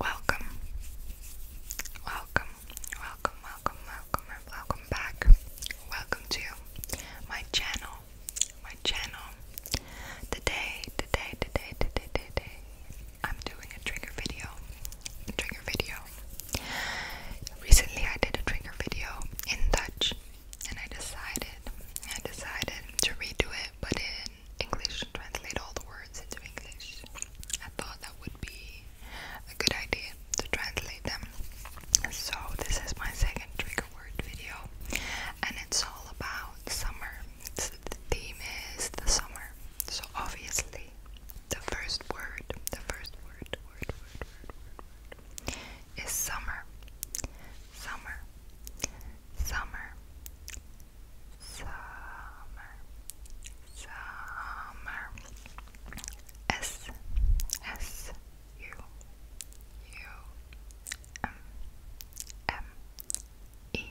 Welcome, welcome, welcome, welcome, welcome, and welcome back. Welcome to my channel, my channel. Today, today, today, today, today, I'm doing a trigger video, trigger video. Recently, I did a trigger video in Dutch, and I decided, I decided to redo it, but in English, translate all the words into English. I thought that would be a good idea to translate them. So, this is my second trigger word video, and it's all about summer. the theme is the summer. So, obviously, the first word, the first word, word, word, word is summer. Summer. Summer summer, summer, S, S, U, U, M, M, E,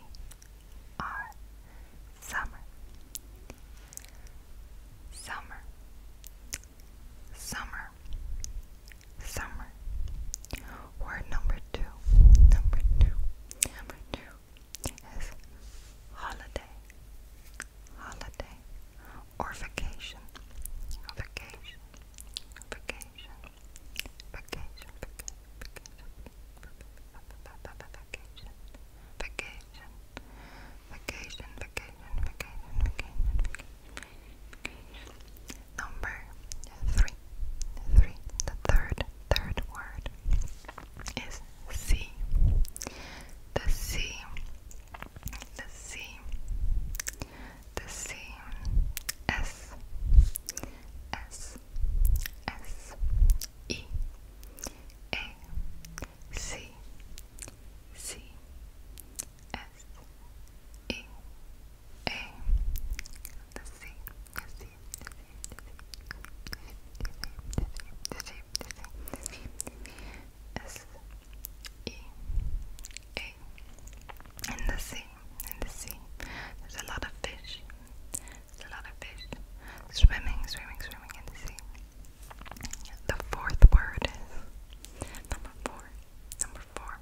R, summer, summer, summer, summer. Word number two, number two, number two is holiday, holiday, or vacation, vacation, vacation, vacation, vacation, vacation, vacation, vacation, vacation, vacation, vacation, vacation, Number three, three. The third, third word is C. The C, the C, the C, S, S, S, E, A, C, C, S, E, A, the C. S E A in the sea, in the sea. There's a lot of fish. There's a lot of fish swimming, swimming, swimming in the sea. The fourth word is number four. Number four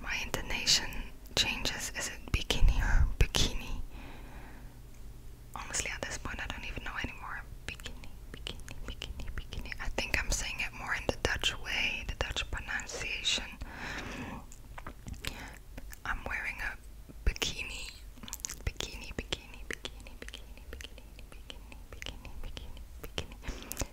My intonation changes. Is it bikini or bikini? Honestly, at this point, I don't even know anymore. Bikini, bikini, bikini, bikini. I think I'm saying it more in the Dutch way, the Dutch pronunciation. I'm wearing a bikini. Bikini, bikini, bikini, bikini, bikini, bikini, bikini, bikini, bikini.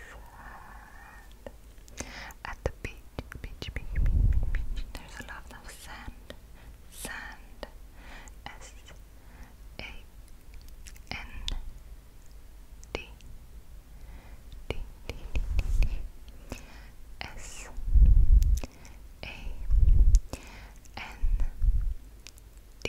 sand. At the beach, beach, beach, beach, beach, beach. There's a lot of sand, sand. S A N D D D D D D S A N D D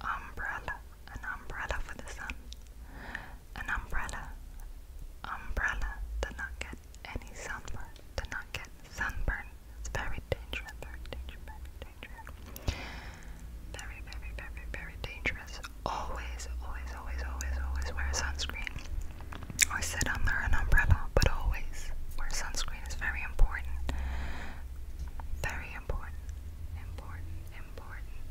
umbrella, an umbrella for the sun, an umbrella, umbrella, did not get any sunburn, did not get sunburn, it's very dangerous, very dangerous, very dangerous, very, very, very, very dangerous, always, always, always, always, always wear sunscreen, or sit under an umbrella, but always wear sunscreen, it's very important, very important, important, important,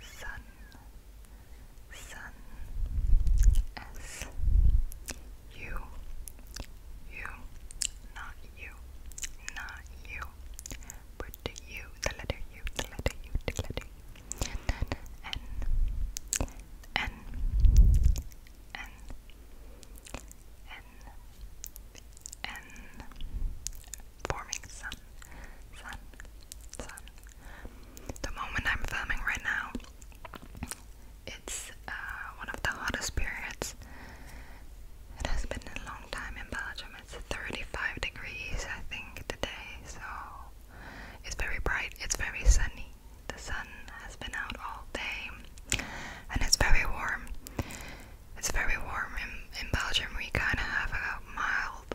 sun, you, not you, not you, but U, the letter U, the letter U, the letter U, and then N, N, N, forming sun, sun, sun the moment I'm filming right now. It's uh, one of the hottest periods. It has been a long time in Belgium. It's 35 degrees, I think, today. So it's very bright. It's very sunny. The sun has been out all day, and it's very warm. It's very warm in in Belgium. We kind of have a mild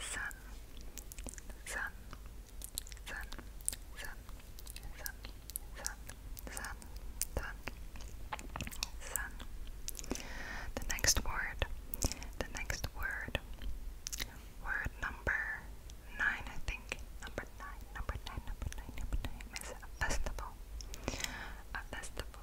sun, sun, sun, sun, sun, sun, sun, sun, sun. The next word, the next word, word number nine, I think. Number nine, number nine, number nine, number nine is a festival. A festival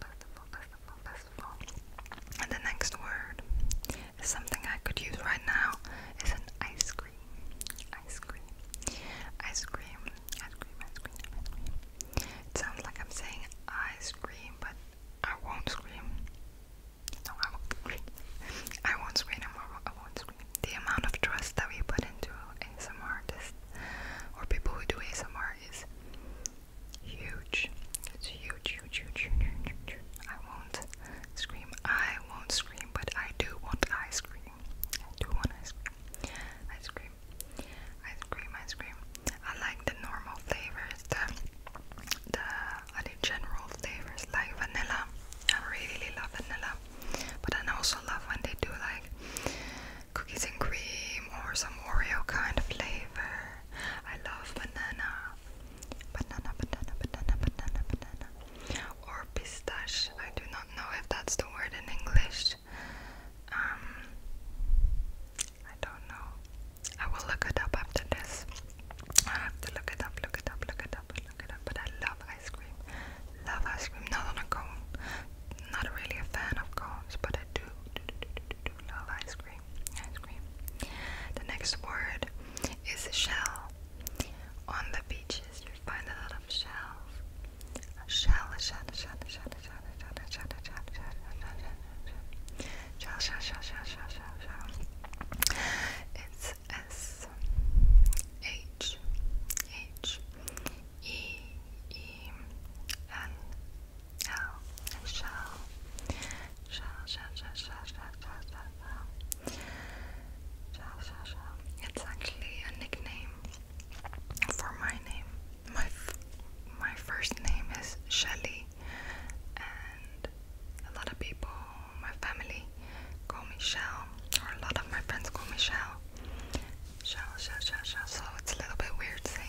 festival, festival, festival, festival. And the next word is something I could use right now is an ice cream. Ice cream. Ice cream. Ice cream. Ice cream. Ice cream. It sounds like I'm saying ice cream, but I won't scream. No, I won't scream. I won't scream. I won't scream. The amount of trust that we put into ASMR artists or people who do ASMR is Huge. It's huge, huge, huge, huge, huge, huge. I won't scream. I won't scream, but I do want ice cream. I do want ice cream. Ice cream. Ice cream, ice cream. I like the normal flavors, the the I uh, think general flavors like vanilla. I really love vanilla. But I also love when they do like cookies and cream or some Oreo kind of flavor I love banana, banana, banana, banana, banana, banana, or pistache. I do not know if that's the word in English. Um, I don't know. I will look it up after this. I have to look it up, look it up, look it up, look it up. But I love ice cream. Love ice cream. Not on a cone. Not really a fan of cones, but I do, do, do, do, do, do love ice cream cream, ice cream. The next word is shell. On the beaches, you find a lot of shells. Shell, shell, shell, shell, shell, shell, shell, shell, shell, shell, shell, shell, shell, shell. It's S H H E E N Shel, shel, shel, Shall, shall, shall, shall, shall, shall, shall, It's actually a nickname for my name. My my first name is Shelly, and a lot of people, my family, call me Shell, or a lot of my friends call me Shell. Shell, shell, shell, shell. So it's a little bit weird saying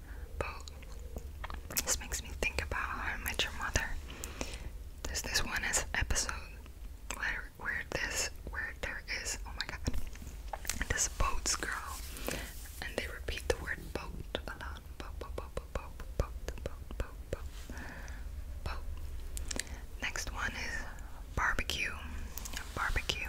But this makes me think about how I met your mother. There's this one as episode where where this where there is oh my god this boats girl and they repeat the word boat a lot. Boat boat boat boat boat boat boat boat boat boat. Next one is barbecue. Barbecue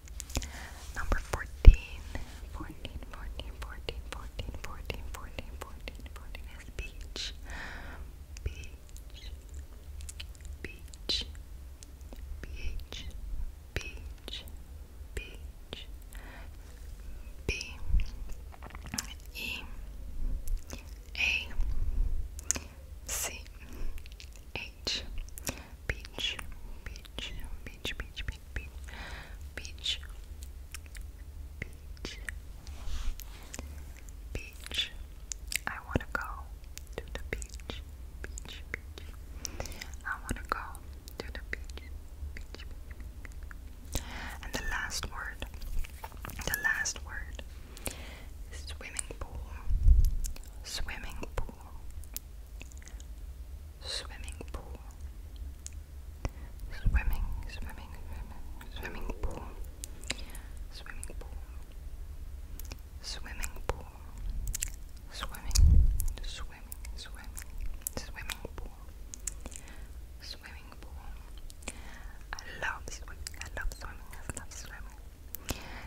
Number 14. 14, 14, 14, 14, 14, 14, 14, 14 is beach. Beach. Beach. Beach. Beach. Beach. B. E. A. C. H. Beach, beach, beach, beach, beach, beach, beach, beach, beach. I want to go to the beach, beach, beach. I want to go to the beach, beach, beach. And the last word, the last word, swimming pool, swimming pool swimming pool, swimming, swimming, swimming, swimming pool, swimming pool, swimming pool, swimming, swimming, swimming, swimming pool, swimming pool. I love swimming. I love swimming. I love swimming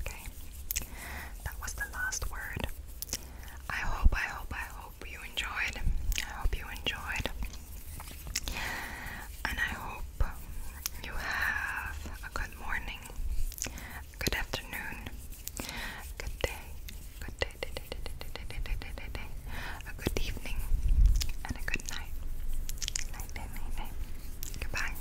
Okay? That was the last word. I hope, I hope, I hope you enjoyed. I hope you enjoyed. And I hope you have a good morning, good afternoon, good day, good day, day, day, day, day, day, day, day, day, a good evening, and a good night. Night, day, night, Goodbye.